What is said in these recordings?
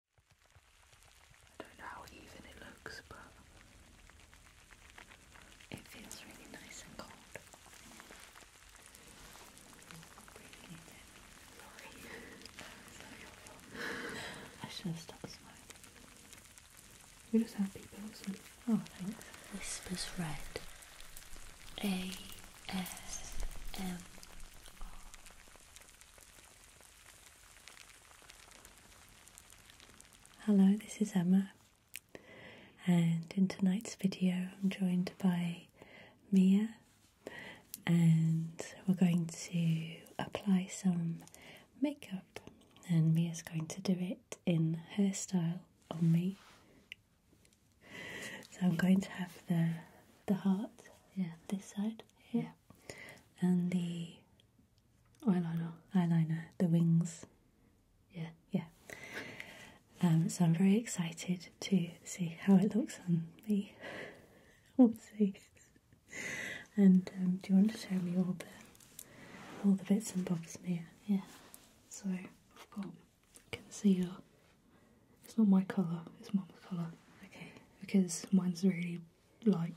I don't know how even it looks, but it feels really nice and cold. Sorry, I should have stopped smiling. We just have people and oh thanks. Whispers Red. A S M. Hello, this is Emma, and in tonight's video, I'm joined by Mia, and we're going to apply some makeup, and Mia's going to do it in her style on me. So I'm going to have the the heart, yeah, this side, yeah and the eyeliner, eyeliner, the wings. Yeah, yeah. Um, so I'm very excited to see how it looks on me. we'll see. And um, do you want to show me all the all the bits and bobs, Mia? Yeah. So I've got concealer. It's not my colour. It's mom's colour. Okay. Because mine's really light.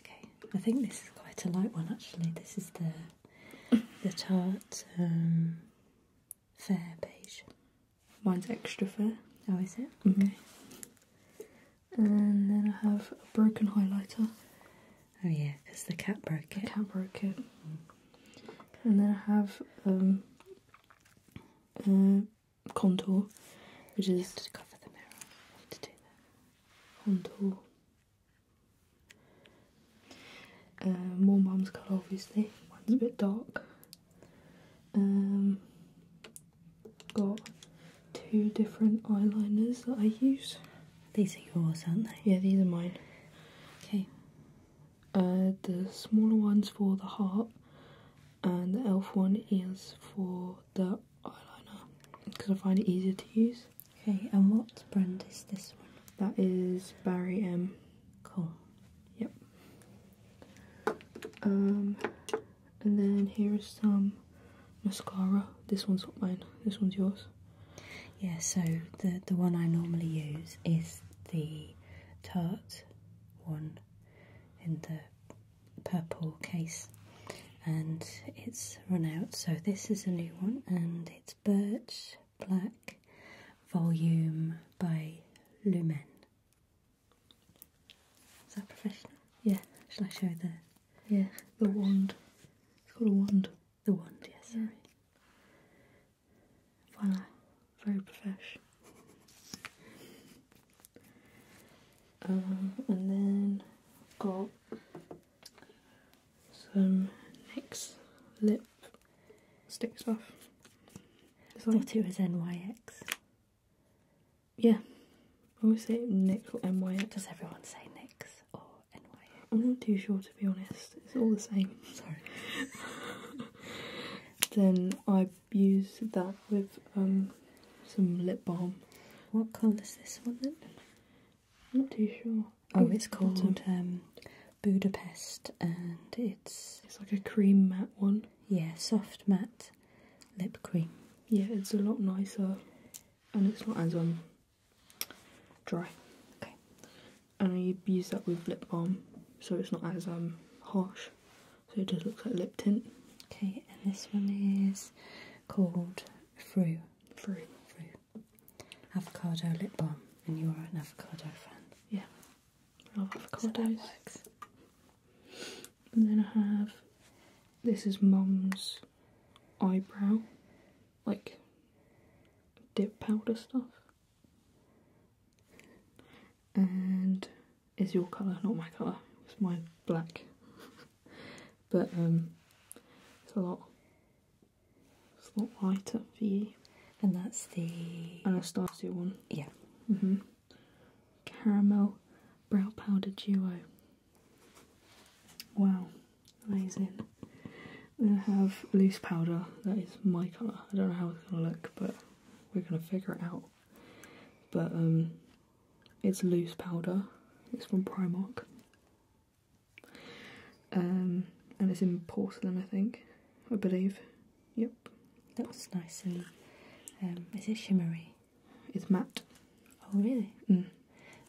Okay, I think this is quite a light one actually. This is the the tart um, fair beige. Mine's extra fair. Oh, is it? Mm-hmm. Okay. And then I have a broken highlighter. Oh yeah, because the cat broke it. The cat broke it. Mm. And then I have um, uh, contour, which is to cover the mirror. to do that. Contour. Uh, more mum's colour, obviously. One's a bit dark. Um, got two different eyeliners that I use. These are yours, aren't they? Yeah, these are mine. Okay. Uh, the smaller ones for the heart and the e.l.f. one is for the eyeliner because I find it easier to use. Okay, and what brand is this one? That is Barry M. Cool. Yep. Um, and then here is some mascara. This one's not mine. This one's yours. Yeah. So the the one I normally use is the Tarte one in the purple case and it's run out so this is a new one and it's birch black volume by lumen is that professional yeah shall i show the yeah the wand it's called a wand the wand yes sorry. Wow. very professional uh, and then got some NYX lip stick stuff. This one. Thought it was NYX. Yeah. I always say NYX or NYX. Does everyone say NYX or NYX? I'm not too sure to be honest. It's all the same. Sorry. then I use that with um, some lip balm. What colour is this one then? I'm not too sure. Oh, it's called um, Budapest, and it's it's like a cream matte one. Yeah, soft matte lip cream. Yeah, it's a lot nicer, and it's not as um dry. Okay, and I use that with lip balm, so it's not as um harsh so it does look like lip tint. Okay, and this one is called Fru. Fru. Fru. Avocado lip balm, and you are an avocado fan. Yeah, I love avocados. and then I have this is Mum's eyebrow, like dip powder stuff. And is your colour, not my colour. It's my black. but um, it's a lot. It's a lot lighter for you. And that's the Anastasia one. Yeah. Mhm. Caramel brow powder duo. Wow, amazing. Then I have loose powder. That is my colour. I don't know how it's gonna look, but we're gonna figure it out. But um, it's loose powder. It's from Primark. Um, and it's in porcelain, I think. I believe. Yep. Looks nice and um, is it shimmery? It's matte. Oh really? Mm.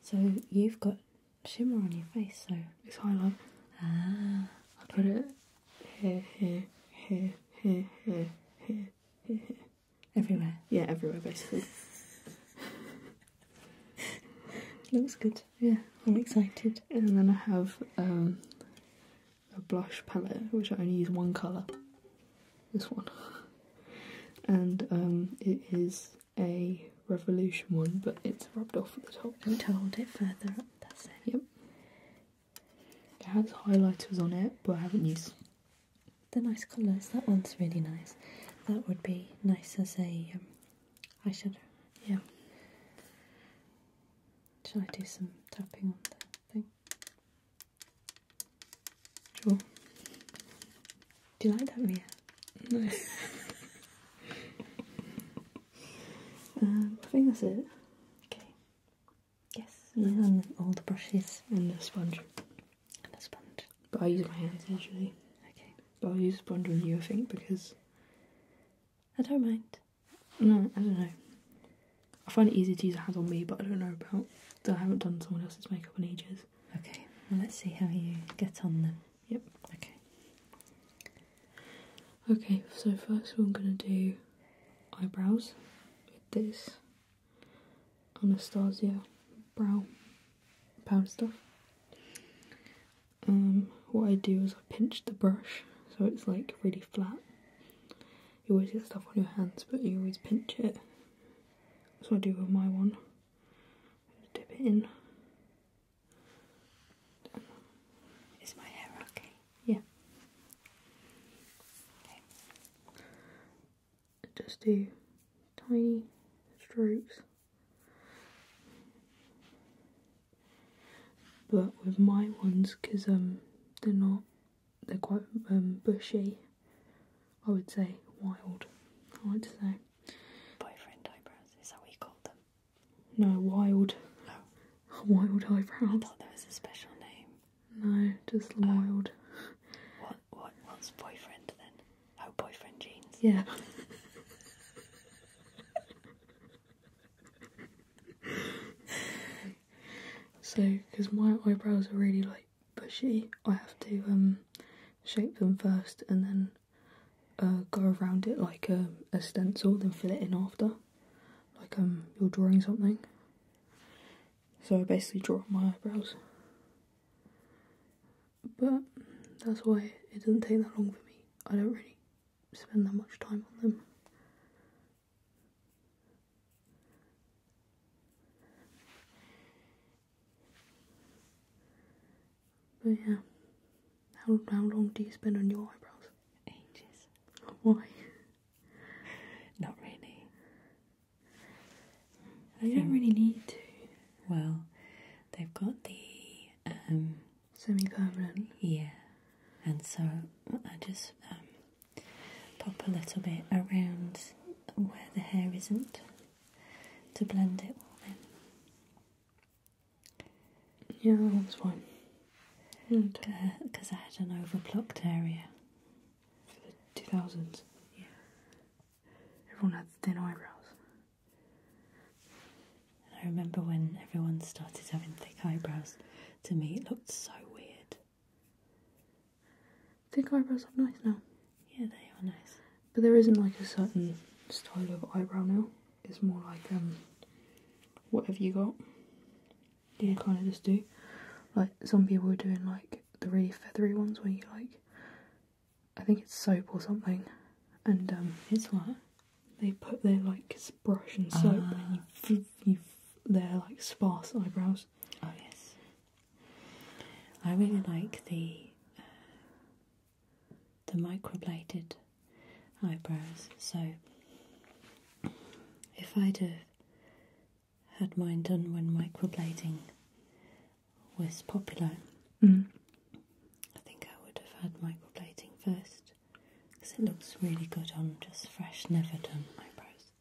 So you've got shimmer on your face, so it's highlight. Ah. Okay. I put it here, here, here, here, here, here, here. here. Everywhere. Yeah, everywhere basically. Looks good. Yeah, I'm excited. And then I have um, a blush palette, which I only use one colour. This one. And um, it is a revolution one, but it's rubbed off at the top. I'm told it further up. That's it. Yep. It has highlighters on it, but I haven't used the nice colours. That one's really nice. That would be nice as a um, eyeshadow. Yeah. Shall I do some tapping on that thing? Sure. Do you like that, Mia? No. Um, I think that's it. Okay. Yes, and all the brushes and the sponge. And the sponge. But I use my hands usually. Okay. But i use the sponge on you, I think, because I don't mind. No, I don't know. I find it easy to use a hand on me, but I don't know about. I haven't done someone else's makeup in ages. Okay, let's see how you get on then. Yep. Okay. Okay, so first we're going to do eyebrows with this. Anastasia brow powder stuff. Um, what I do is I pinch the brush so it's like really flat. You always get stuff on your hands, but you always pinch it. So I do with my one. Dip it in. Is my hair okay? Yeah. Just do tiny strokes. But with my ones, because um, they're not, they're quite um, bushy, I would say wild, I would say. Boyfriend eyebrows, is that what you called them? No, wild. Oh. Wild eyebrows. I thought that was a special name. No, just Lloyd. What? What? What's boyfriend then? Oh, boyfriend jeans. Yeah. so, because my eyebrows are really like bushy, I have to um shape them first and then uh, go around it like a, um, a stencil, then fill it in after, like um you're drawing something. So I basically draw my eyebrows. But that's why it doesn't take that long for me. I don't really spend that much time on them. But yeah, how, how long do you spend on your eyebrows? Ages. Why? Not really. I don't really need to. Well, they've got the um, semi-permanent. Yeah, and so I just um, pop a little bit around where the hair isn't to blend it all in. Yeah, that's fine. Because uh, I had an overplucked area for the two thousands. Yeah. Everyone had thin eyebrows. And I remember when everyone started having thick eyebrows. To me, it looked so weird. Thick eyebrows are nice now. Yeah, they are nice. But there isn't like a certain style of eyebrow now. It's more like um, what have you got you kind of just do. Like some people were doing like the really feathery ones where you like, I think it's soap or something, and um, it's what they put their like brush and soap uh. you, ah. their like sparse eyebrows. Oh yes, I really like the uh, the microbladed eyebrows. So if I'd have had mine done when microblading was popular. Mm. I think I would have had microblading first because it looks really good on just fresh, never done eyebrows.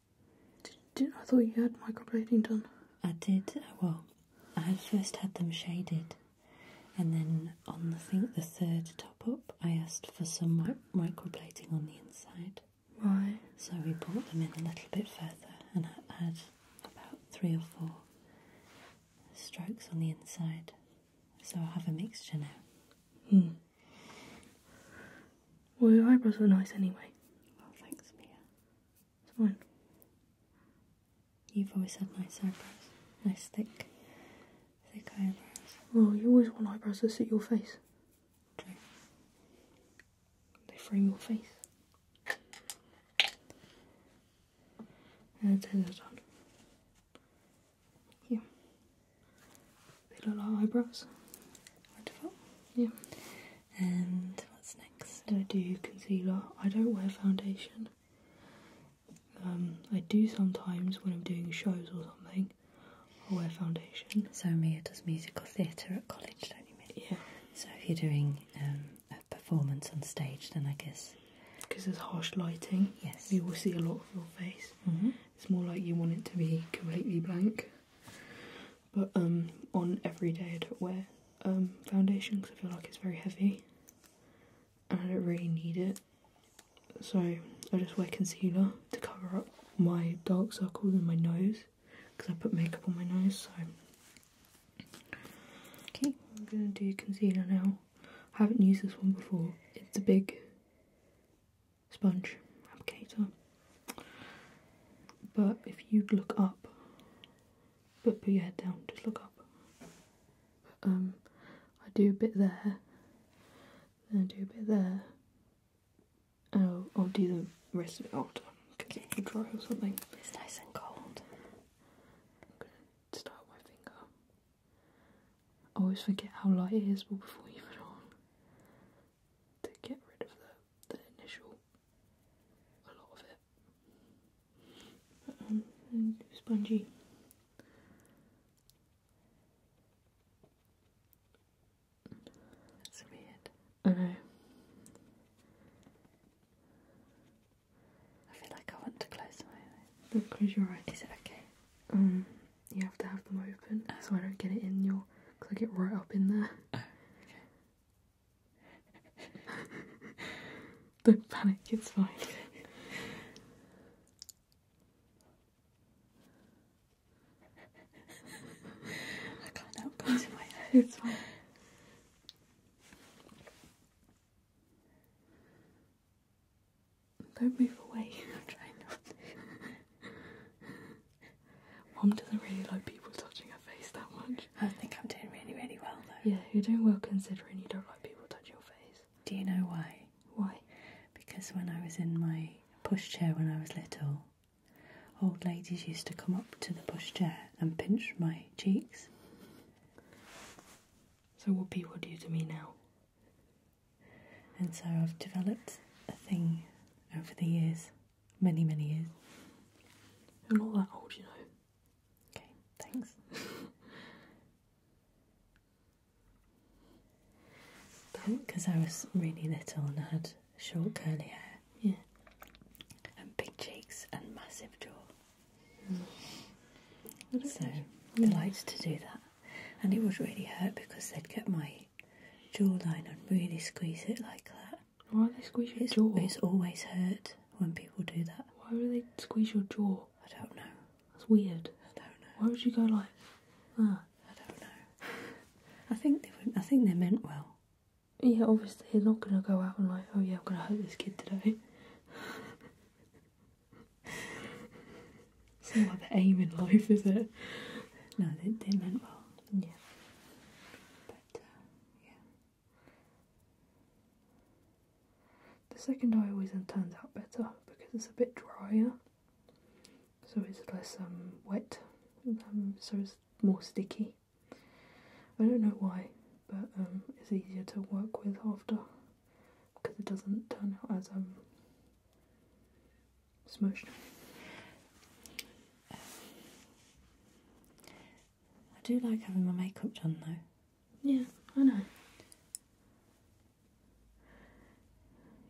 Did, did, I thought you had microblading done. I did. Uh, well, I first had them shaded, and then on the, think the third top up, I asked for some microblading on the inside. Right. So we brought them in a little bit further and I had about three or four strokes on the inside. So i have a mixture now. Hmm. Well, your eyebrows are nice anyway. Well, thanks, Mia. It's fine. You've always had nice eyebrows. Nice thick, thick eyebrows. Well, you always want eyebrows that suit your face. They frame your face. And then they're done. Yeah. They look like eyebrows. Wonderful. Yeah. And what's next? I do concealer. I don't wear foundation. Um, I do sometimes when I'm doing shows or something, or wear foundation. So Mia does musical theatre at college, Yeah. So if you're doing um, a performance on stage, then I guess because there's harsh lighting, yes, you will see a lot of your face. Mm-hmm. It's more like you want it to be completely blank. But um, on every day, I don't wear um, foundation because I feel like it's very heavy, and I don't really need it. So I just wear concealer to cover up my dark circles in my nose because I put makeup on my nose. So, okay, I'm gonna do concealer now. I haven't used this one before. It's a big sponge applicator, but if you look up, but put your head down, just look up. Um, I do a bit there, then I do a bit there, Oh, I'll do the rest of it after because it could dry or something. It's nice and cold. I'm gonna start with my finger. I always forget how light it is before you put on to get rid of the, the initial a lot of it. and um, spongy. That's weird. I know. I feel like I want to close my eyes. do close your eyes. Is it okay? Um, you have to have them open oh. so I don't get it in your. Cause I get right up in there. Oh, don't panic. It's fine. I can't help closing It's fine. Don't move away. I'm trying not Mom doesn't really like people touching her face that much. I think I'm doing really, really well though. Yeah, you're doing well considering you don't like people touching your face. Do you know why? Why? Because when I was in my pushchair when I was little, Old ladies used to come up to the pushchair and pinch my cheeks. So, what people do to me now. And so, I've developed a thing over the years, many, many years. I'm not that old, you know. Okay, thanks. because I was really little and I had short curly hair. Yeah. And big cheeks and massive jaw. So yeah. I liked to do that. And it would really hurt because they'd get my jawline and really squeeze it like that. Why do they squeeze your jaw? It's always hurt when people do that. Why do they squeeze your jaw? I don't know. That's weird. I don't know. Why would you go like ah? I don't know. I think they were, I think they meant well. Yeah, obviously you're not gonna go out and like, oh yeah, I'm gonna hurt this kid today. it's the aim in life, is it? No, they, they meant well. Yeah. But uh, yeah. The second eye always turns out better because it's a bit drier so it's less um, wet, um, so it's more sticky. I don't know why, but um, it's easier to work with after because it doesn't turn out as um, smushed. I do like having my makeup done though. Yeah, I know.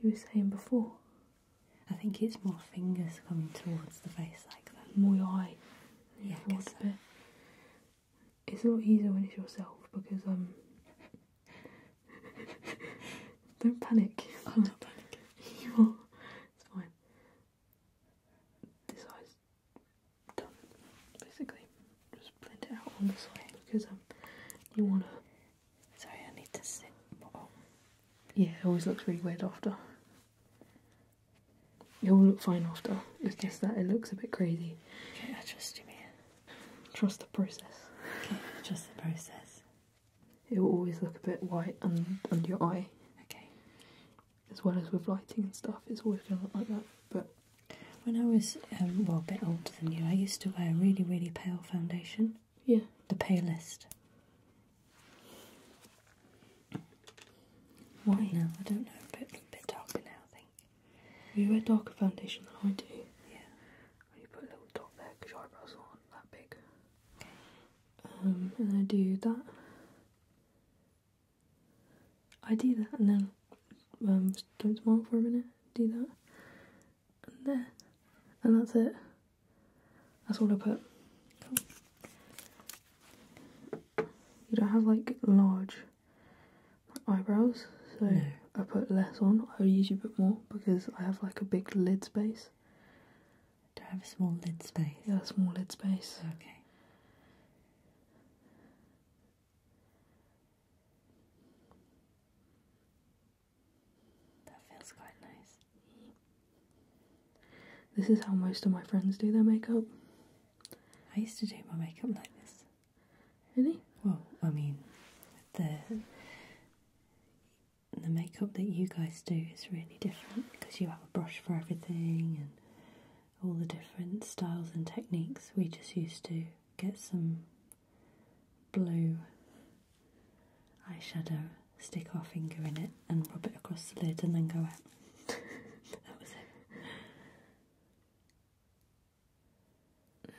You were saying before I think it's more fingers coming towards the face like that. More your eye. Yeah, I guess so. It's a lot easier when it's yourself because um. don't panic. I'm not panic. you are. It's fine. This eye's done. Basically, just blend it out on the side because um, you wanna Sorry, I need to sit. Yeah, it always looks really weird after. It will look fine after. It's just that it looks a bit crazy. Okay, I trust you, man. Trust the process. Okay, trust the process. It will always look a bit white under your eye. Okay. As well as with lighting and stuff, it's always going to look like that. But when I was um, well a bit older than you, I used to wear a really really pale foundation. Yeah. The palest. Why? No, I don't know. A bit, a bit darker now, I think. You wear darker foundation than I do. Yeah. Well, you put a little dot there because your eyebrows aren't that big. Um, and I do that. I do that and then um, don't smile for a minute. Do that and there. And that's it. That's all I put. You don't have like large eyebrows, so I put less on. I usually put more because I have like a big lid space. Do I have a small lid space? Yeah, small lid space. Okay. That feels quite nice. This is how most of my friends do their makeup. I used to do my makeup like this. Really? Well, I mean, the the makeup that you guys do is really different because you have a brush for everything and all the different styles and techniques. We just used to get some blue eyeshadow, stick our finger in it and rub it across the lid and then go out.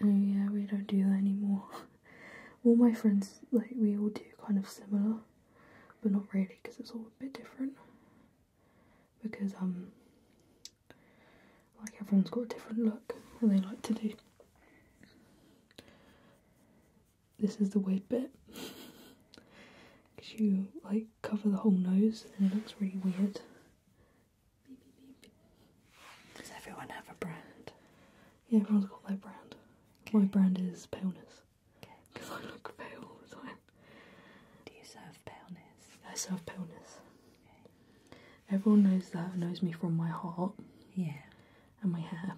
Oh, yeah, we don't do that anymore. all my friends, like, we all do kind of similar, but not really because it's all a bit different. Because, um, like, everyone's got a different look and they like to do this is the weird bit because you like cover the whole nose and it looks really weird. Does everyone have a brand? Yeah, everyone's got their brand. My brand is paleness because I look pale all the time. Do you serve paleness? I serve paleness. Everyone knows that knows me from my heart. Yeah and my hair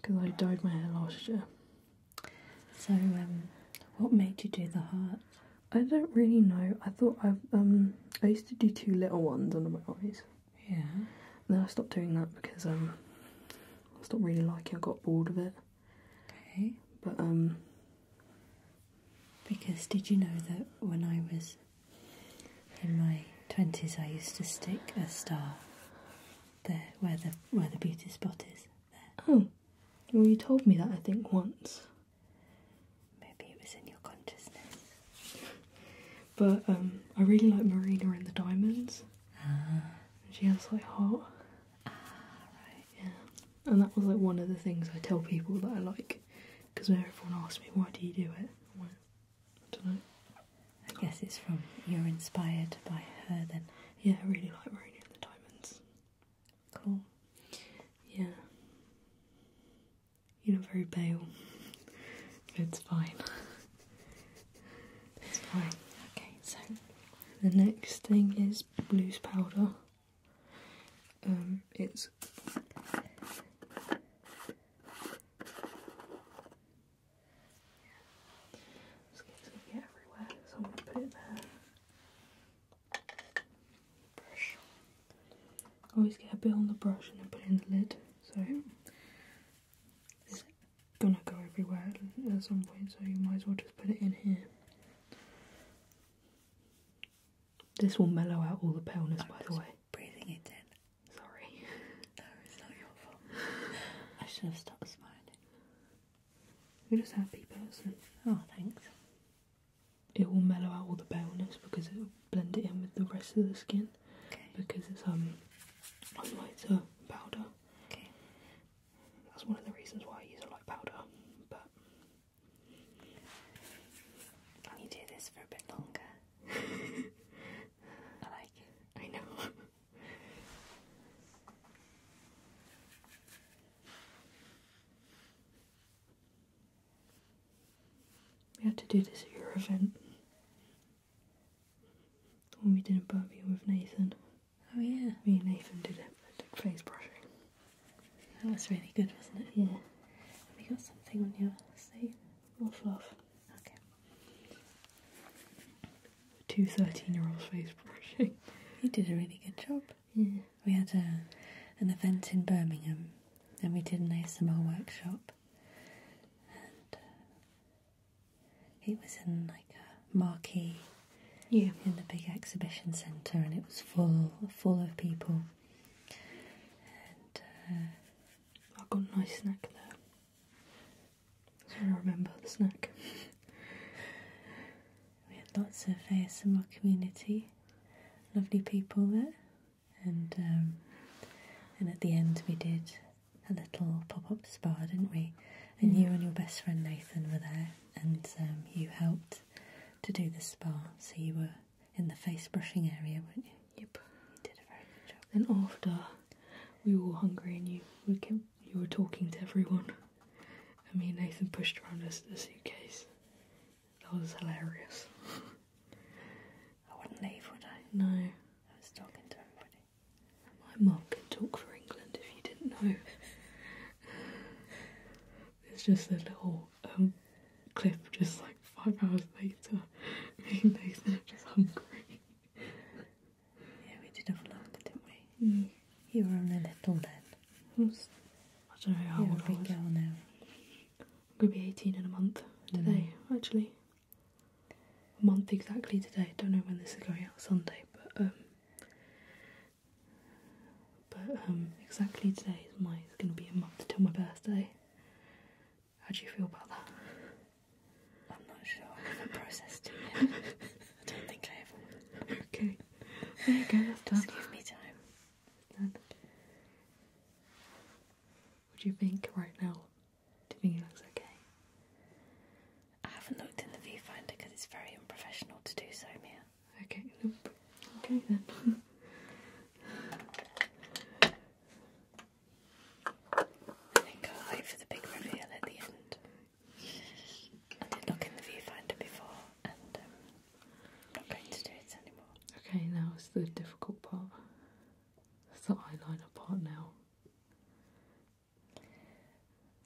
because I dyed my hair last year. So, um, what made you do the heart? I don't really know. I thought I um I used to do two little ones under my eyes. Yeah. And then I stopped doing that because um I stopped really liking. I got bored of it. Okay. But um. Because did you know that when I was in my twenties, I used to stick a star there where the where the beauty spot is. Oh, well, you told me that I think once. Maybe it was in your consciousness. but um, I really like Marina and the Diamonds. Ah. She has like heart. Ah, right. Yeah. And that was like one of the things I tell people that I like, because when everyone asks me why do you do it, I guess it's from you're inspired by her then. Yeah, I really like Marina the Diamonds. Cool. Yeah. You're not very pale. it's fine. it's fine. Okay, so the next thing is blues powder. Um, it's always get a bit on the brush and then put it in the lid, so it's gonna go everywhere at some point, so you might as well just put it in here. This will mellow out all the paleness, by the way. Breathing it in. Sorry. No, it's not your fault. I should have stopped smiling. You're just a happy person. Oh, thanks. It will mellow out all the paleness because it will blend it in with the rest of the skin. Okay. Because it's um, highlighter powder. Okay. That's one of the reasons why I use a light powder. But you do this for a bit longer. I like it. I know. we had to do this at your event. The one we did a you with Nathan. Oh yeah. Me and Nathan did it. Took face brushing. That was really good, wasn't it? Yeah. We got something on your sleeve. More Okay. Two 13 year olds face brushing. You did a really good job. Yeah. We had a, an event in Birmingham and we did an ASMR workshop. And it uh, was in like a marquee yeah. in the big exhibition centre and it was full, full of people. And uh, I got a nice snack there. That's what I remember the snack. we had lots of in ASMR community, lovely people there, and um, and at the end we did a little pop up spa, didn't we? And mm. you and your best friend Nathan were there, and um, you helped to do the spa, so you were in the face brushing area, weren't you? Yep. You did a very good job. Then after we were all hungry and you you were talking to everyone. And me and Nathan pushed around us the suitcase. That was hilarious. I wouldn't leave, would I? No. I was talking to everybody. My mum can talk for England if you didn't know. it's just a little um clip just like five hours later. Me and Nathan just hungry. Yeah, we did a vlog, didn't we? Mm. You were only little then. I, don't know how old a big I was. girl now. I'm going to be 18 in a month mm. today, actually. A month exactly today. I don't know when this is going out Sunday, but um, but um, exactly today is my. It's going to be a month until my birthday. How do you feel about that? I'm not sure. I haven't processed it I don't think I have. Okay. There you go, that's done. give me time. Done. What do you think right now? Do you think it looks okay? I haven't looked in the viewfinder because it's very unprofessional to do so, Mia. Okay, Okay then. I think I'll wait for the big reveal at the end. I did look in the viewfinder before and I'm um, not going to do it anymore. Okay, now it's the difficult part. It's the eyeliner part now.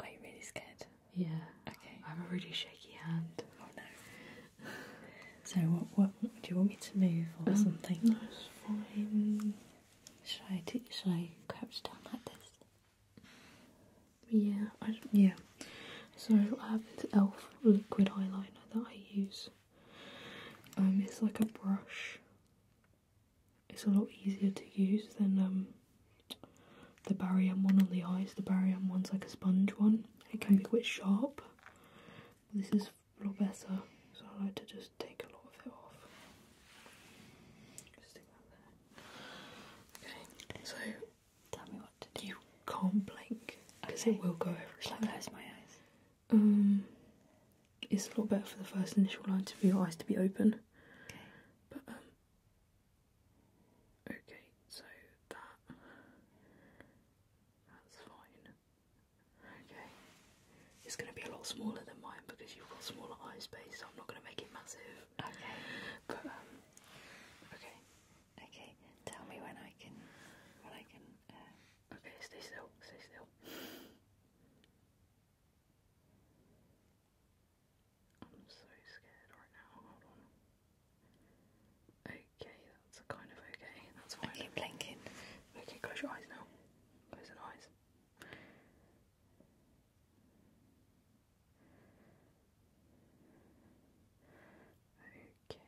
Are you really scared? Yeah. Okay. I have a really shaky hand. Oh no. So what? What do you want me to move or um, something? Should I? Do, should I crouch down like this? Yeah. I, yeah. So I have this Elf liquid eyeliner that I use. Um, it's like a brush. It's a lot easier to use than um the barium one on the eyes. The barium one's like a sponge one. It can be quite sharp. This is a little better, so I like to just take a lot of it off. Okay, so tell me what to do. You can't blink because it will go everywhere. Shall close my eyes? Um, it's a lot better for the first initial line to be your eyes to be open. Okay. But um. Okay, so that that's fine. Okay. It's going to be a lot smaller than mine because you've got smaller eye space, so I'm not going to make it massive. Okay. But um, okay. Okay. Tell me when I can. When I can. Uh, okay. Stay still. Stay still. I'm so scared right now. Hold on. Eight. Okay, that's kind of okay. That's fine. I keep blinking. Okay, close your eyes now. Close your eyes. Okay.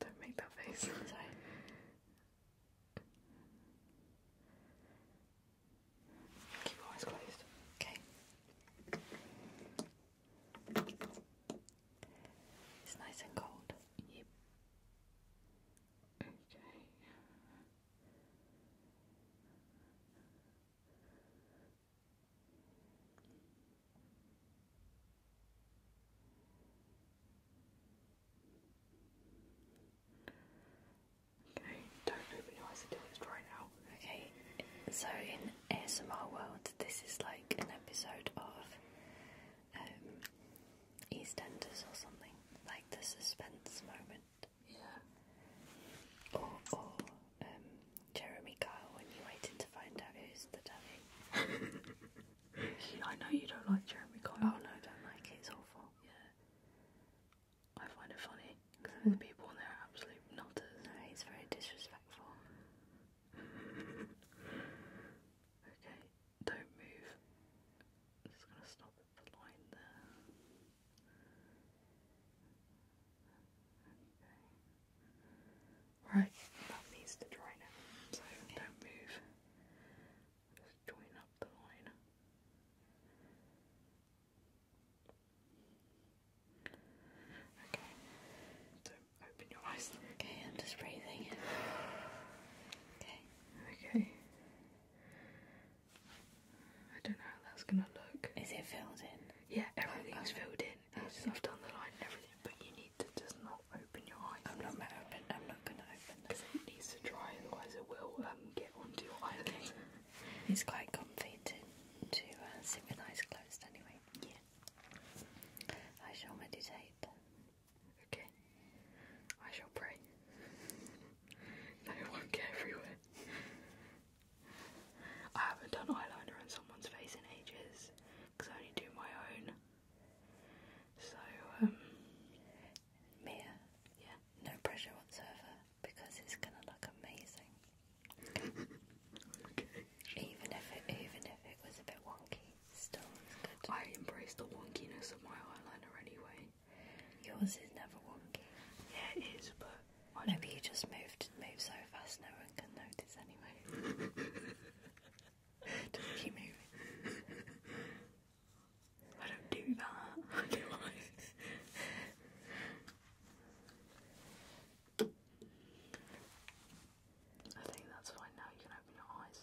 Don't make that face. Sorry. Keep your eyes closed. Okay. It's nice and cold. Yep. Okay. Okay, don't open your eyes until it's dry now. Okay, so in ASMR world, this is like an episode of um, EastEnders or something, like the suspense moment. Yeah. Or, um, Jeremy Kyle when you're to find out who's the daddy. I know you don't like Jeremy Kyle. Oh no, I don't like it. awful. Yeah. I find it funny because mm-hmm. the people on there are absolute nutters. he's very disrespectful okay, don't move. i just gonna stop the line there. Right, that needs to dry now, so don't move. Just join up the line. Okay. do open your eyes. Okay, I'm just breathing. Okay. Okay. I don't know how that's gonna look. Is it filled in? Yeah, everything's filled in. I've done the line and everything, but you need to just not open your eyes. I'm not gonna open. I'm not gonna open. Because it needs to dry, otherwise it will um get onto your eyes. It's quite comfy to to uh, sit with eyes closed anyway. Yeah. I shall meditate. Okay. I shall pray. no, won't get everywhere. I haven't done eyeliner on someone's face in ages I only do my own. So, um. Yeah? No pressure whatsoever because it's gonna look amazing. Even if it even if it was a bit wonky, still it's good. I embrace the wonkiness of my eyeliner anyway. Yours is never wonky. Yeah, it is, but I maybe you just moved move so fast no one can notice anyway. just keep moving. I don't do that. I do I think that's fine now. You can open your eyes.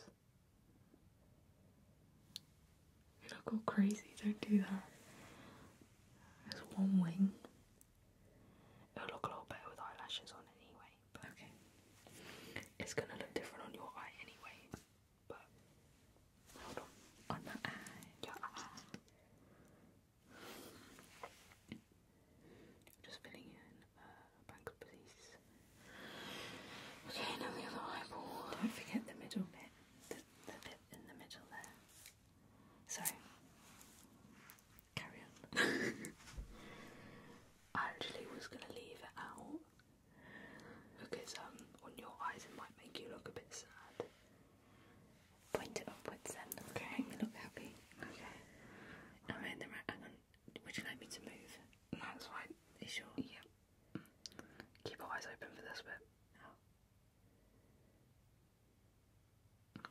You don't go crazy. Don't do that. There's one wing. It'll look a little better with eyelashes on anyway. But okay. It's gonna look different on your eye anyway. But hold on. On my eye. Your eye. Just filling in uh, bank of Okay, now the other eyeball. Don't forget the middle bit, the, bit in the middle there. So, carry on. I actually was gonna leave it out because um, on your eyes it might make you look a bit sad point it upwards then. Okay. look happy. Okay. Alright, then right, hang on. Would you like me to move? No, it's fine. Are you Keep your eyes open for this bit.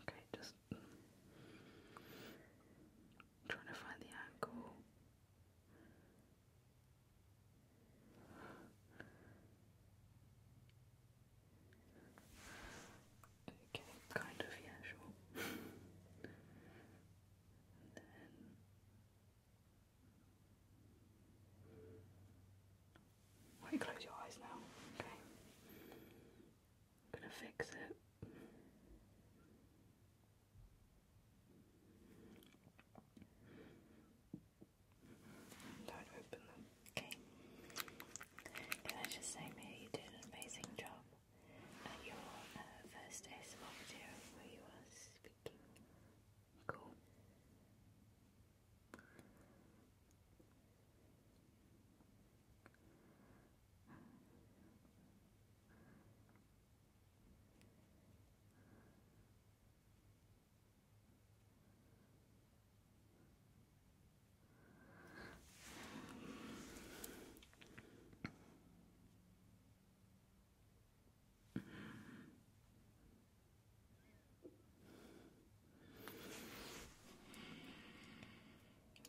Okay, just trying to find the angle. Okay, kind of, yeah, sure. why you close your eyes now? Okay. gonna fix it. Don't open them. Okay. Can I just say, Mia, you did an amazing job at your uh, first ASMR video where you were speaking. Cool.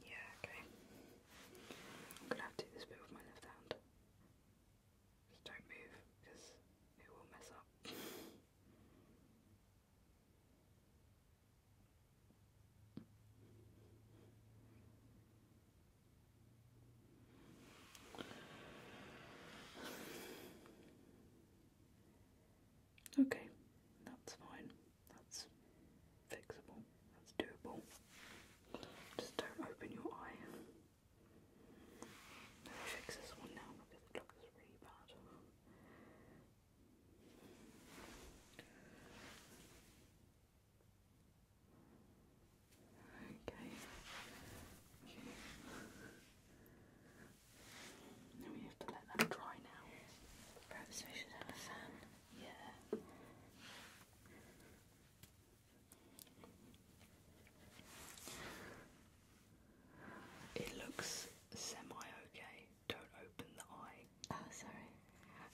Yeah, okay. I'm gonna have to do this bit with my left hand. Just don't move because it will mess up. Okay, that's fine. That's fixable. That's doable. Just don't open your eye. Let me fix this one now because the clock is really bad. Okay. we have to let that dry now. Perhaps we should have a fan. Yeah. It looks semi okay. Don't open the eye. Oh, sorry.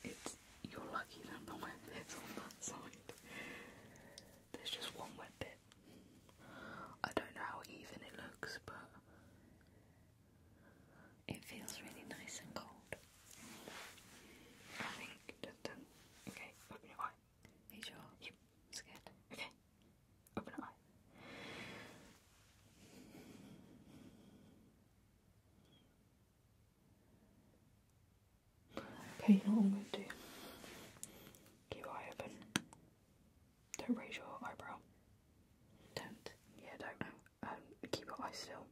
It's you're lucky that the wet bit's on that side. There's just one wet bit. I don't know how even it looks, but it feels really nice and cold. I Okay, open your eye. Are you Scared. Okay. Open your eye. Okay, you know what I'm going to do? Keep your eye open. Don't raise your eyebrow. Don't. Yeah, don't. Um, keep your eye still.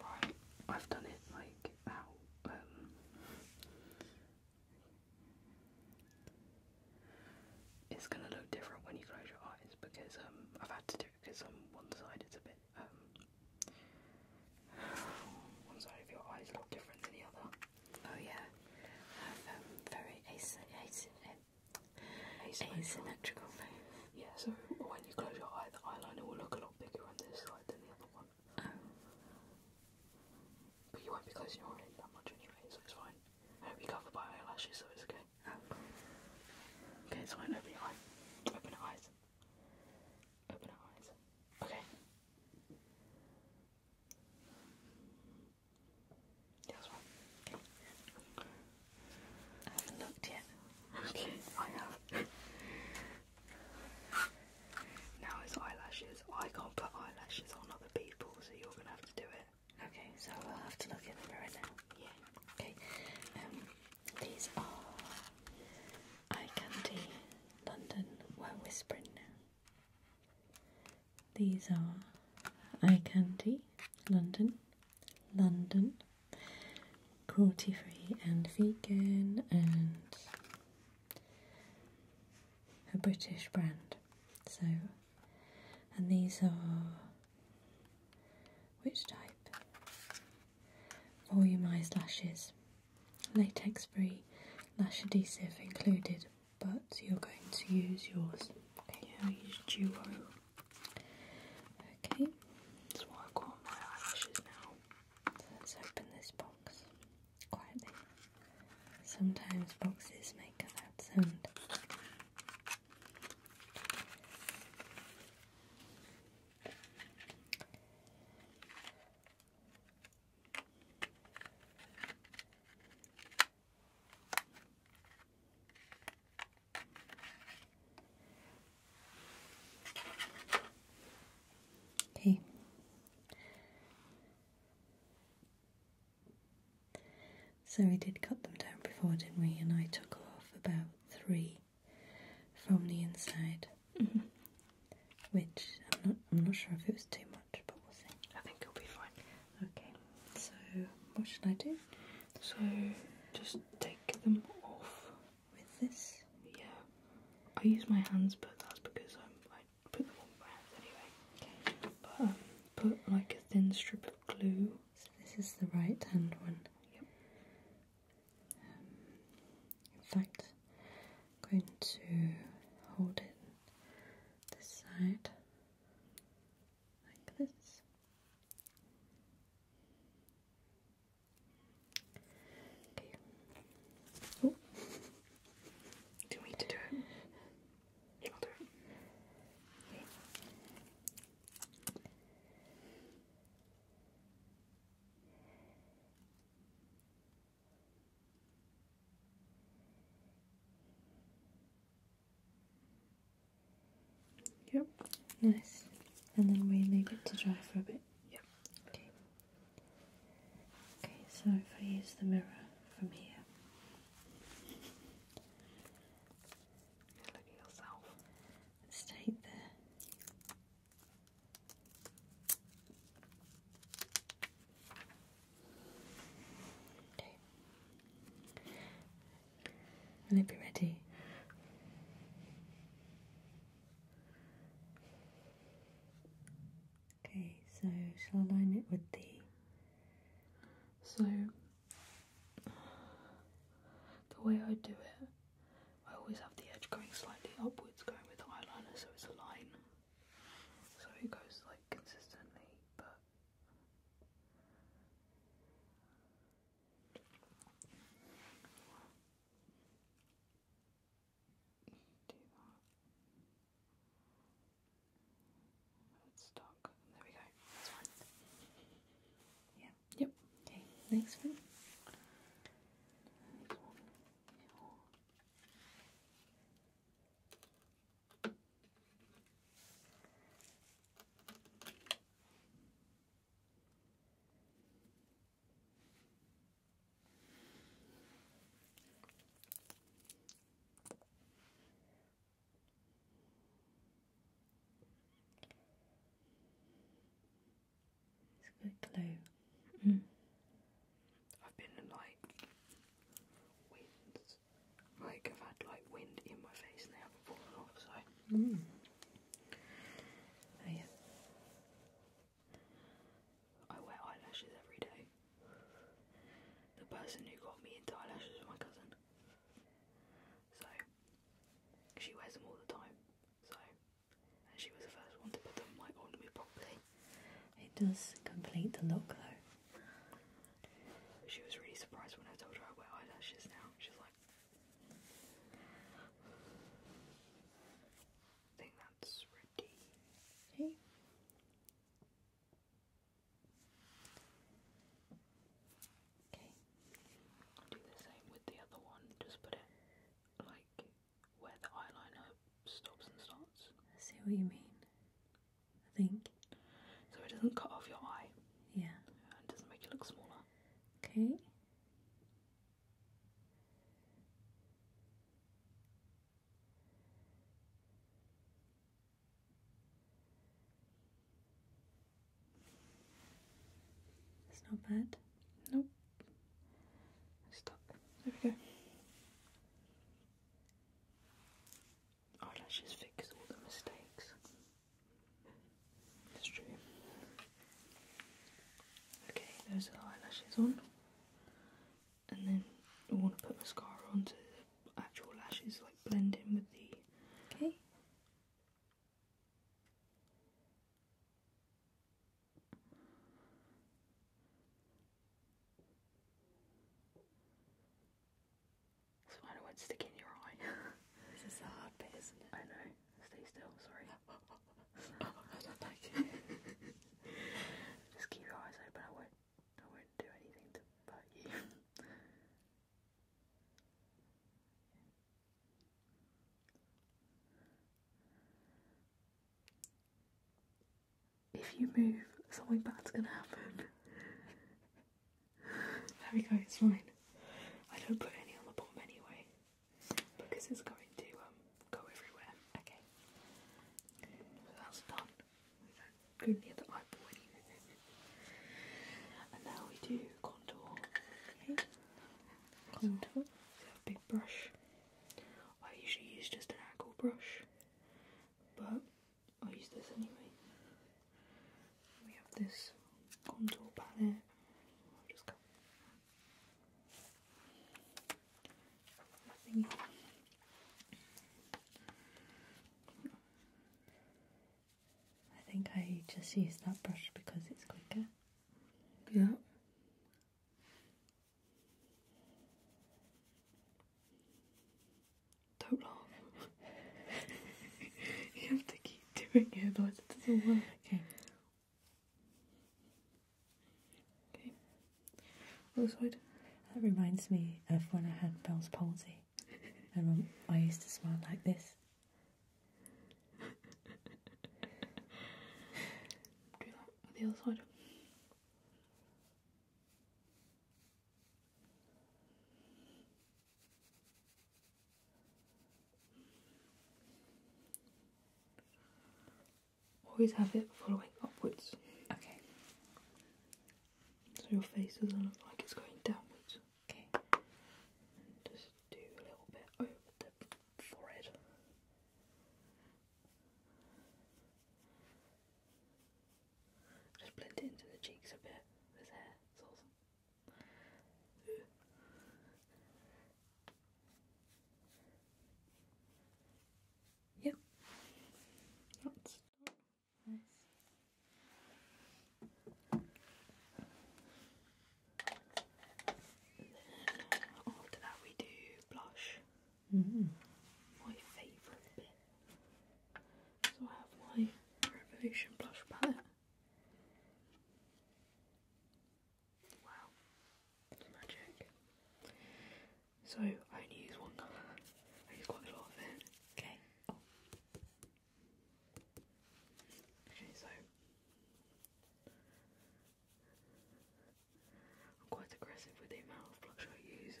Right, I've done it like out. Um, it's gonna look different when you close your eyes because um, I've had to do it because on um, one side it's a bit. Um, one side of your eyes look different than the other. Oh yeah, very asymmetrical asymmetrical nose. Yeah, so when you close your eye, the eyeliner will look a lot bigger on this side than the other one. Oh. But you won't be closing your eyelid that much anyway, so it's fine. I hope you cover by eyelashes, so it's okay. Oh. Okay, so open your eye. Open your eyes. Open your eyes. Okay. Okay. I haven't looked yet. Okay, I have. now it's eyelashes. I can't put eyelashes on other people, so you're gonna have to do it. Okay, so I'll have to look in the mirror now. Yeah. Okay. Um, these are Eye Candy London We're Whispering Now. These are Eye Candy, London, London, cruelty free and vegan, and a British brand. So, and these are which type? Volumized lashes, latex free lash adhesive included, but you're going to use yours. Okay, I use Duo. Okay, that's why I've got my eyelashes now. let's open this box quietly. Sometimes boxes make a loud sound. Okay. So we did cut them down before, didn't we? And I took off about three from the inside, mm-hmm. which I'm not. I'm not sure if it was too much, but we'll see. I think it'll be fine. Okay, so what should I do? So just take them off with this. Yeah, I use my hands, but that's because I put them on my hands anyway. Okay, but um, put like a thin strip of glue. So this is the right hand one. Yep. Um, in fact, I'm going to hold it this side like this. Okay. Oh. Do we need to do it? I'll do it. Yep. Nice. And then we leave it to dry for a bit. Yep. Okay. Okay, so if I use the mirror from here. Look at yourself. Let's take the Okay. Will it be ready? Okay, so shall I line it with the. So, the way I do it, I always have the edge going slightly upwards, going with the eyeliner, so it's a line. So it goes like consistently, but do There we go. That's fine. Yeah. Yep. Okay. Thanks for. Next it's a good glue. Mm. I've been like like I've had like wind in my face and they haven't fallen off, so mm. Oh, yeah. I wear eyelashes every day. The person who got me into eyelashes was my cousin. So she wears them all the time. So and she was the first one to put them on me properly. It does complete the look though. She was really surprised when I told her I wear eyelashes now. She's like, think that's ready. Okay. Okay. do the same with the other one. Just put it like where the eyeliner stops and starts. see what you mean. I think. So it doesn't cut off your eye. Yeah. it doesn't make you look smaller. Okay. It's not bad. Nope. Stuck. There we go. Oh, eyelashes fix all the mistakes. That's true. Okay, those are the eyelashes on. And then I want to put mascara on so the actual lashes like blend in with the. Okay. That's why I won't stick in your eye. this is the hard I know. Stay still, sorry. Just keep your eyes open, I won't I won't do anything to hurt you. If you move, something bad's gonna happen. There we go, it's fine. I don't put any on the bottom anyway because it's going to um, go everywhere. Okay, that's done. We the eyeball anymore. And now we do contour. Contour. big brush. I usually use just an angle brush, but I'll use this anyway. We have this contour palette. i think I just used that brush because it's quicker. Yeah. Don't laugh. you have to keep doing it, otherwise it doesn't work. Okay. Okay. Other side. That reminds me of when I had Bell's palsy. I used to smile like this. Do that on the other side. Always have it following upwards. Okay. So your face doesn't look like it's going downwards. Okay. just do a little bit over the forehead. Just blend it into the cheeks a bit with After that, we do blush. Mm-hmm. My favourite bit. So I have my Revolution blush palette. Wow, magic. So I only use one colour. I use quite a lot of it. Okay. Okay, so I'm quite aggressive with the amount of blush I use.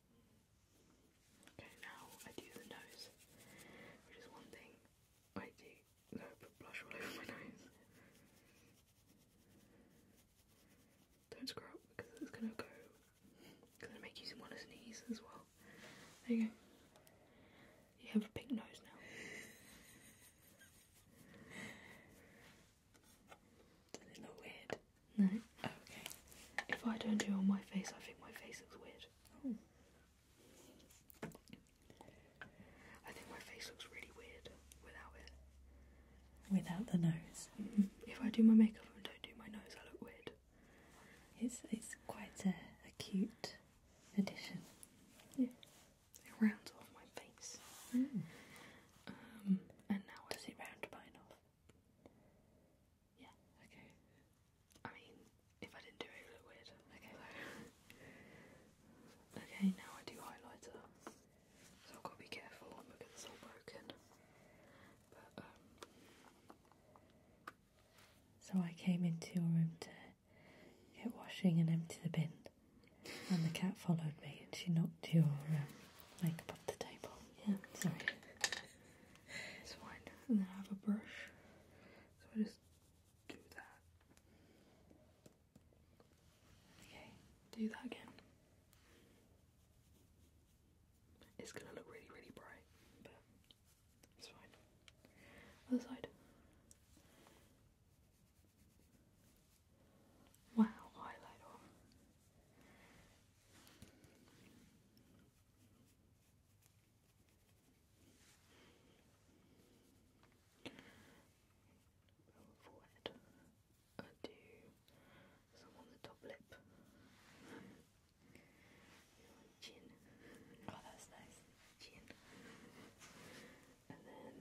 Okay, now I do the nose, which is one thing I do. No, put blush all over my nose. Don't screw up because it's gonna go. It's gonna make you want sneeze as well. There you go. You have a pink nose now. a little weird. No. Okay. If I don't do it on my face, I think my face looks weird. I think my face looks really weird without it. Without the nose. Mm-hmm. If I do my makeup and don't do my nose, I look weird. It's it's quite a, a cute addition. Yeah. It rounds off my face. Mm. Um, and now does it round mine off? Yeah, okay. I mean, if I didn't do it, it would weird. Okay, so. okay, now I do highlighter. So I've got to be careful, my book all broken. Um, so I came into your room to get washing and empty the bin. And the cat followed me and she knocked your um, makeup off the table. Yeah, sorry. It's fine. And then I have a brush. So I just do that. Okay, do that again. It's gonna look really, really bright, but it's fine. Other side. Wow, highlighter. Forehead. I do some on the top lip. Chin. Oh, that's nice. Chin. And then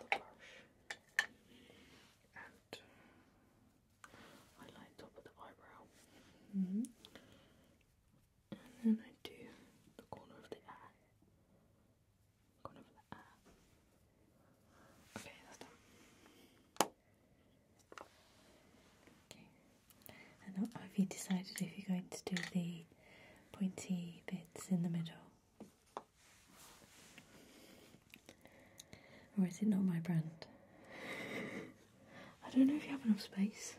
another brush highlight top of the eyebrow. Mm-hmm. And then I do the corner of the eye. Corner of the eye. Okay, that's done. Okay. And have you decided if you're going to do the pointy bits in the middle? Or is it not my brand? I don't know if you have enough space.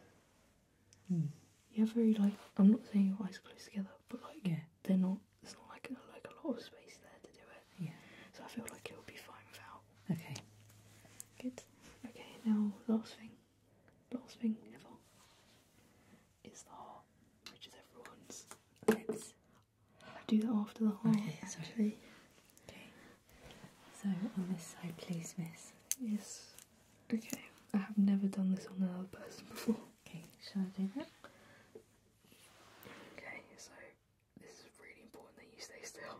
Hmm. You have very like I'm not saying your eyes close together, but like yeah, they're not. It's not like a, like a lot of space there to do it. Yeah. So I feel like it will be fine without. Okay. Good. Okay. Now last thing, last thing ever is the heart, which is everyone's. let I'll do that after the heart, okay, Okay. So on this side, please, miss. Yes. Okay. I have never done this on another person before. Okay, shall I do that? Okay, so this is really important that you stay still.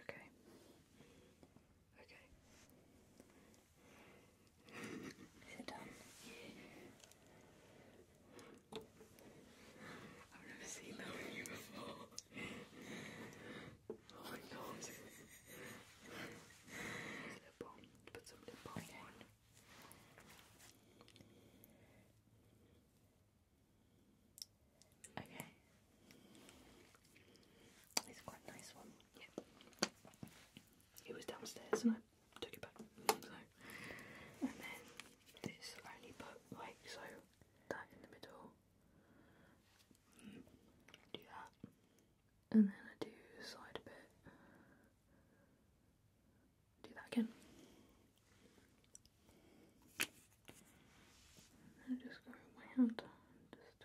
Okay. Okay. Is it done? I've never seen that on you before. oh my god. lip balm. Put some lip balm okay. It's quite nice one. It was downstairs and I took it back and then this only put like so that in the middle. Mm, do that, and then I do slide a bit. Do that again. And I just go with my hand, just,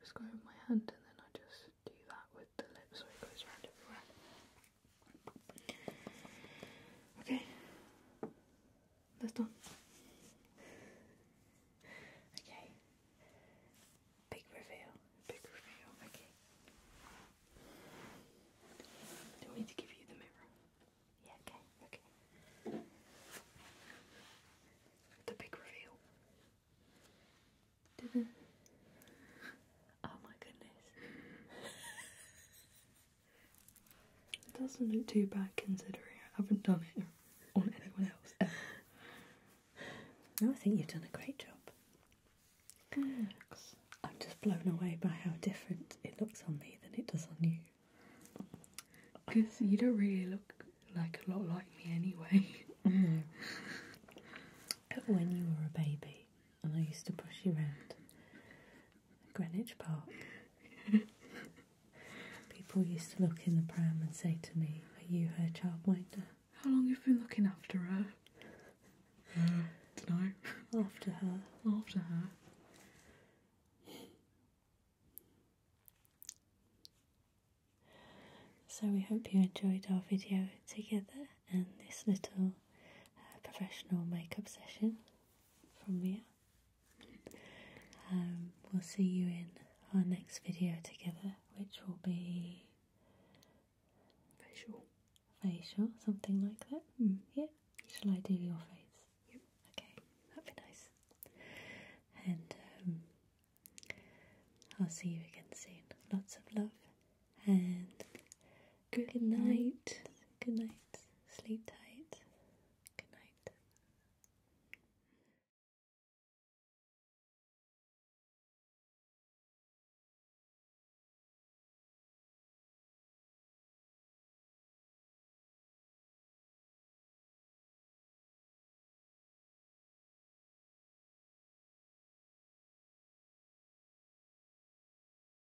just go with my hand, and then I just do that with the lip so it goes around everywhere. Okay, that's done. Okay, big reveal, big reveal. Okay, do you to give you the mirror? Yeah. Okay. Okay. The big reveal. Oh my goodness. It doesn't look too bad considering I haven't done it on anyone else I think you've done a great job. Thanks. I'm just blown away by how different it looks on me than it does on you. Because you don't really look like a lot like me anyway. No. Mm. when you were a baby, and I used to push you around Greenwich Park. People used to look in the pram and say to me, Are you her childminder? How long have you been looking after her? Uh, don't know. After her. After her. So we hope you enjoyed our video together and this little uh, professional makeup session from me. Um, we'll see you in our next video together, which will be facial, facial, something like that. Hmm. Yeah. Shall I do your face? Yep. Okay, that'd be nice. And um, I'll see you again soon. Lots of love, and Good, night. Good night. Sleep tight. Good night.